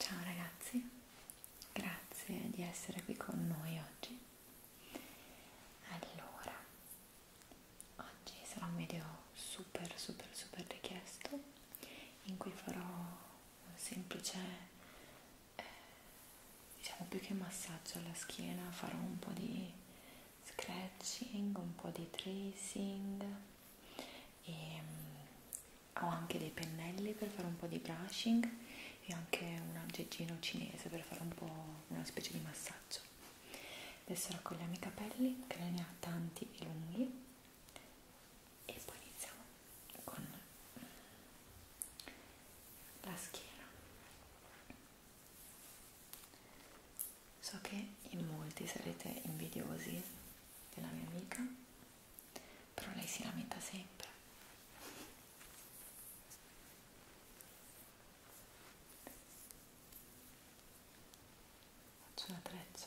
Ciao ragazzi, grazie di essere qui con noi oggi. Allora, oggi sarà un video super super super richiesto in cui farò un semplice eh, diciamo più che massaggio alla schiena farò un po' di scratching, un po' di tracing e ehm, mh, ho anche dei pennelli per fare un po' di brushing e anche un aggeggino cinese per fare un po' una specie di massaggio adesso raccogliamo i capelli che ne ha tanti e lunghi e poi iniziamo con la schiena so che in molti sarete invidiosi della mia amica però lei si lamenta sempre faccio una treccia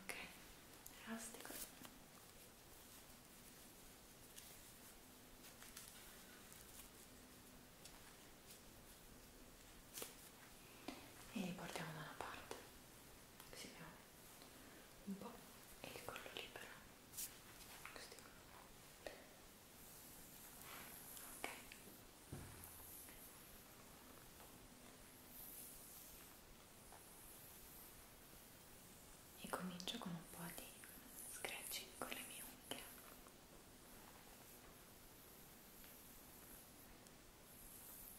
ok elastico e li portiamo da una parte così abbiamo un po' e il collo libero così ok e comincio con un po' di scratching con le mie unghie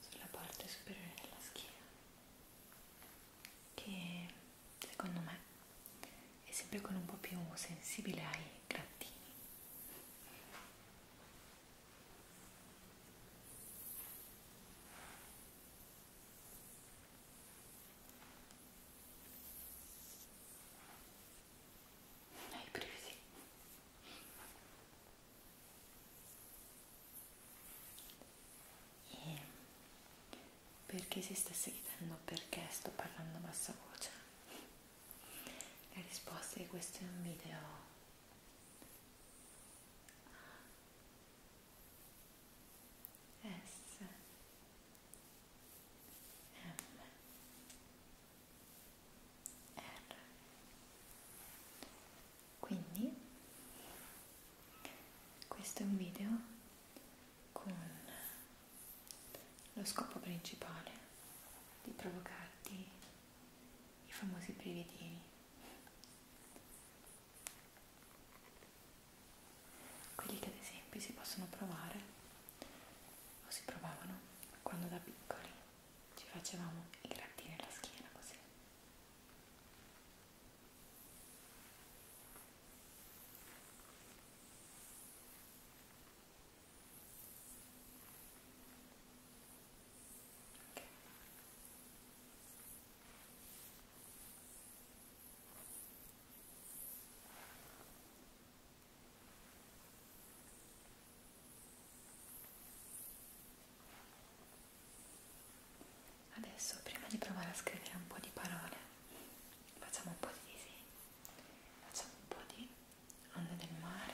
sulla parte superiore della schiena che secondo me è sempre con un po' più sensibile ai grattini hai brividi? E perché si stesse chiedendo perché sto parlando a bassa voce? La risposta è che questo è un video S M R quindi questo è un video con lo scopo principale di provocarti i famosi brividini quelli che ad esempio si possono provare o si provavano quando da piccoli ci facevamo i grattini alla schiena così. Adesso prima di provare a scrivere un po' di parole facciamo un po' di disegni, facciamo un po' di onde del mare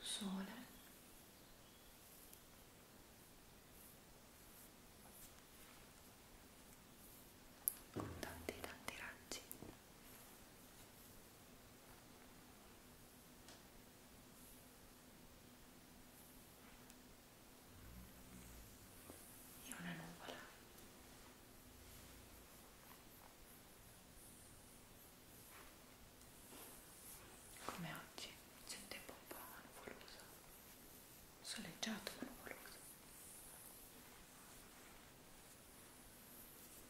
sole con tanti tanti raggi e una nuvola come oggi c'è un tempo un po' nuvoloso soleggiato ma nuvoloso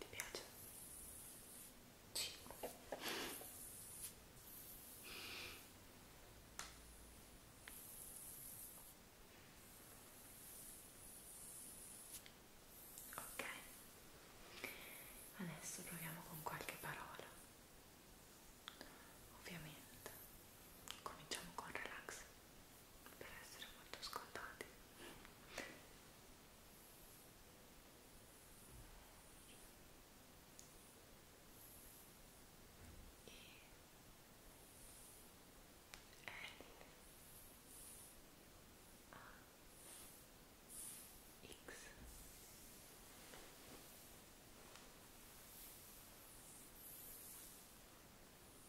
Ti piace? Sì. Ok, adesso proviamo con qualche parola. Ovviamente cominciamo con relax. Relax per essere molto ascoltati e L A X e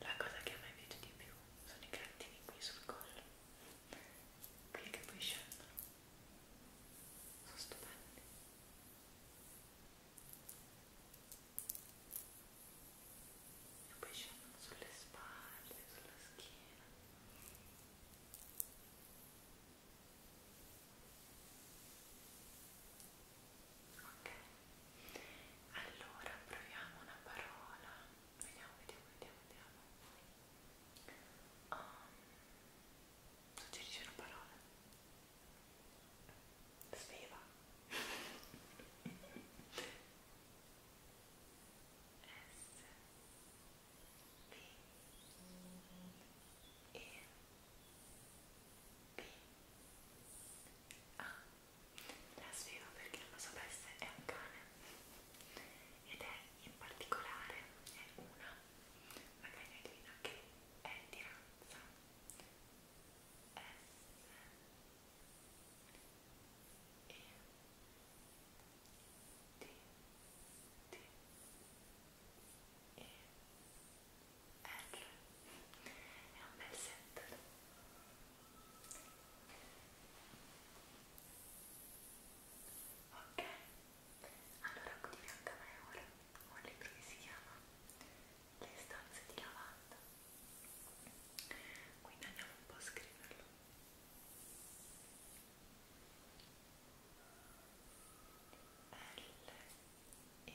La cosa che a me piace di più sono i grattini qui sul collo, quelli che poi scendono, sono stupendi. E poi scendono sulle spalle, sulla schiena. Ok, allora proviamo una parola. Vediamo, vediamo, vediamo, vediamo. Um, ehm, suggerisci una parola. Sveva. S B E Ah, la spiego perché non lo sapesse, è un cane ed è in particolare è una, magari hai divina che è di razza S E D D e R è un bel set ok allora qui di fianco a me ora ho un libro che si chiama Le stanze di lavanda quindi andiamo un po' a scriverlo L E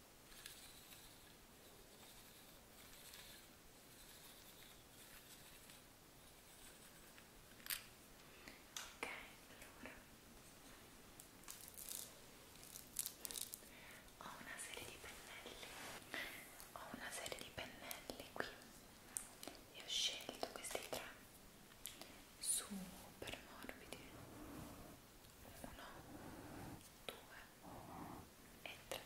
Ok, allora ho una serie di pennelli, ho una serie di pennelli qui e ho scelto questi tre super morbidi. Uno, due e 3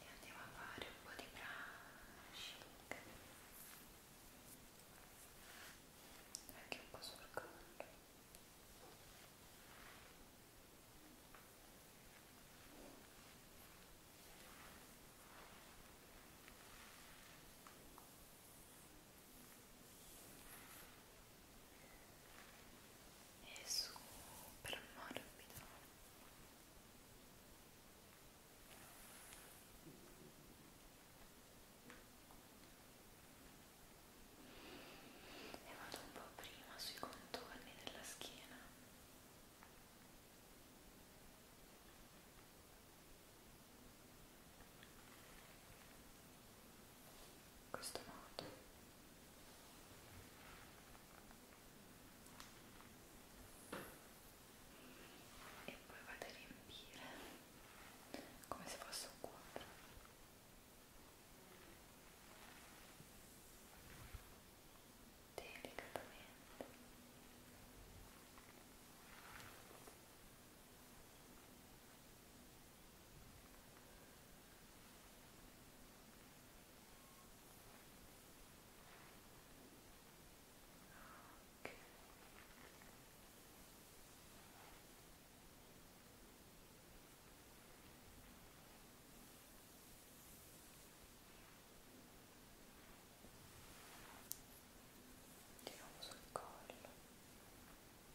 e andiamo a fare un po' di brushing anche un po' sul collo e è super morbido e vado un po' prima sui contorni della schiena e in questo modo e poi vado a riempire come se fosse un quadro delicatamente e Okay. Tiriamo sul collo.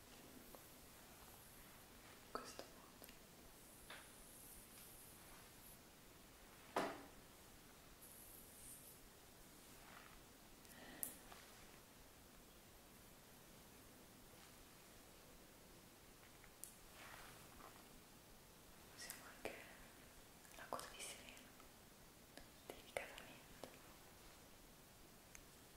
in questo modo usiamo anche la coda di sirena delicatamente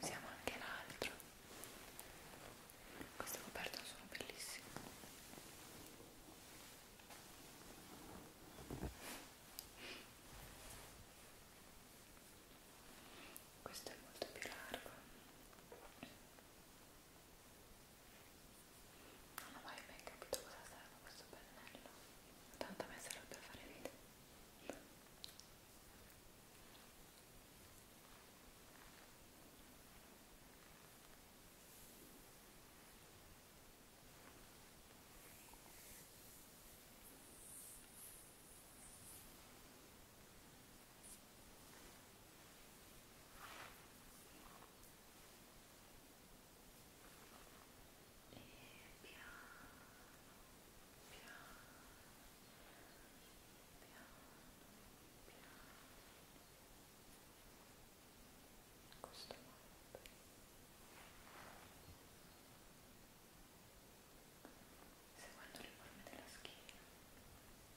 Usiamo anche l'altro. Queste coperte sono bellissime. Questo è molto più largo. Non ho mai ben capito cosa serve questo pennello, tanto a me serve per fare video. Ecco e piano piano piano piano in questo modo seguendo le forme della schiena e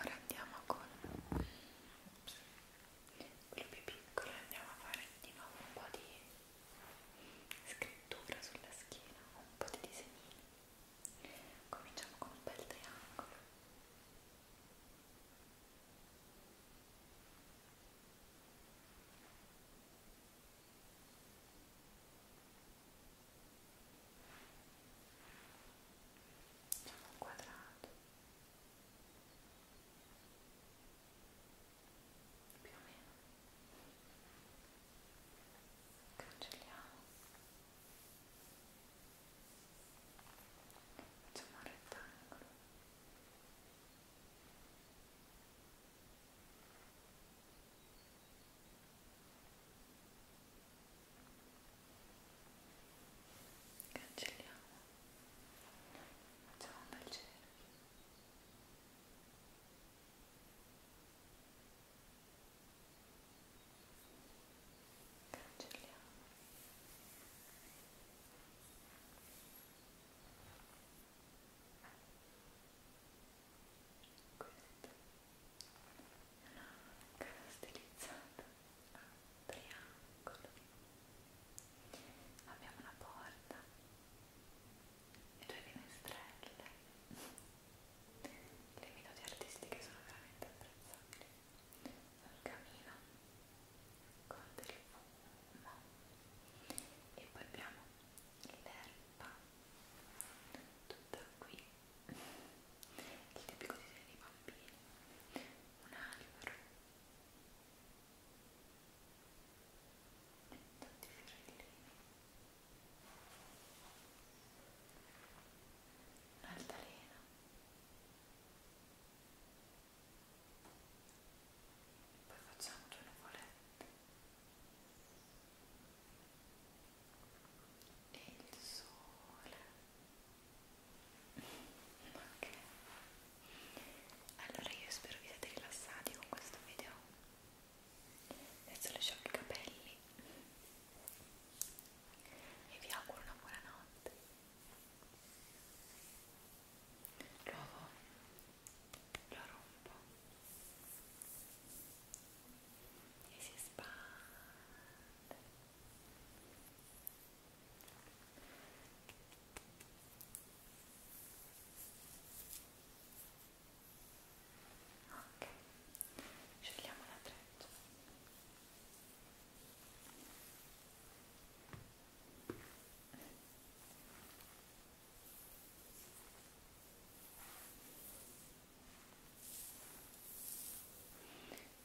Ora andiamo con Ops. quello più piccolo e andiamo a fare di nuovo un po' di scrittura sulla schiena, un po' di disegnini. Cominciamo con un bel triangolo. Facciamo un quadrato più o meno cancelliamo facciamo un rettangolo cancelliamo facciamo un bel cerchio Ecco cancelliamo questa è una casa stilizzata a triangolo abbiamo una porta e due finestrelle le minuti artistiche sono veramente apprezzabili al camino con del fumo e poi abbiamo l'erba tutta qui il tipico disegno dei bambini un albero tanti fiorellini un'altalena poi facciamo due nuvolette e il sole ok allora io spero vi siate rilassati con questo video adesso lasciamo i capelli e vi auguro una buona notte lo, lo rompo e si espande ok scegliamo l'attrezzo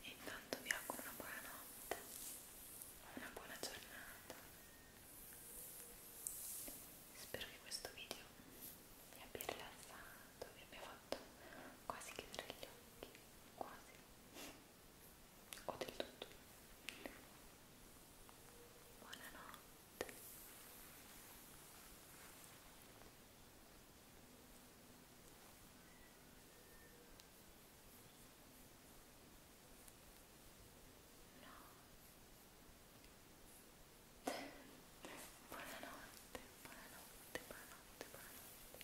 Intanto vi auguro una buona notte, una buona giornata. Spero che questo video vi abbia rilassato, vi abbia fatto quasi chiudere gli occhi, quasi o del tutto. Buonanotte. No. Buonanotte, buonanotte, buonanotte, buonanotte.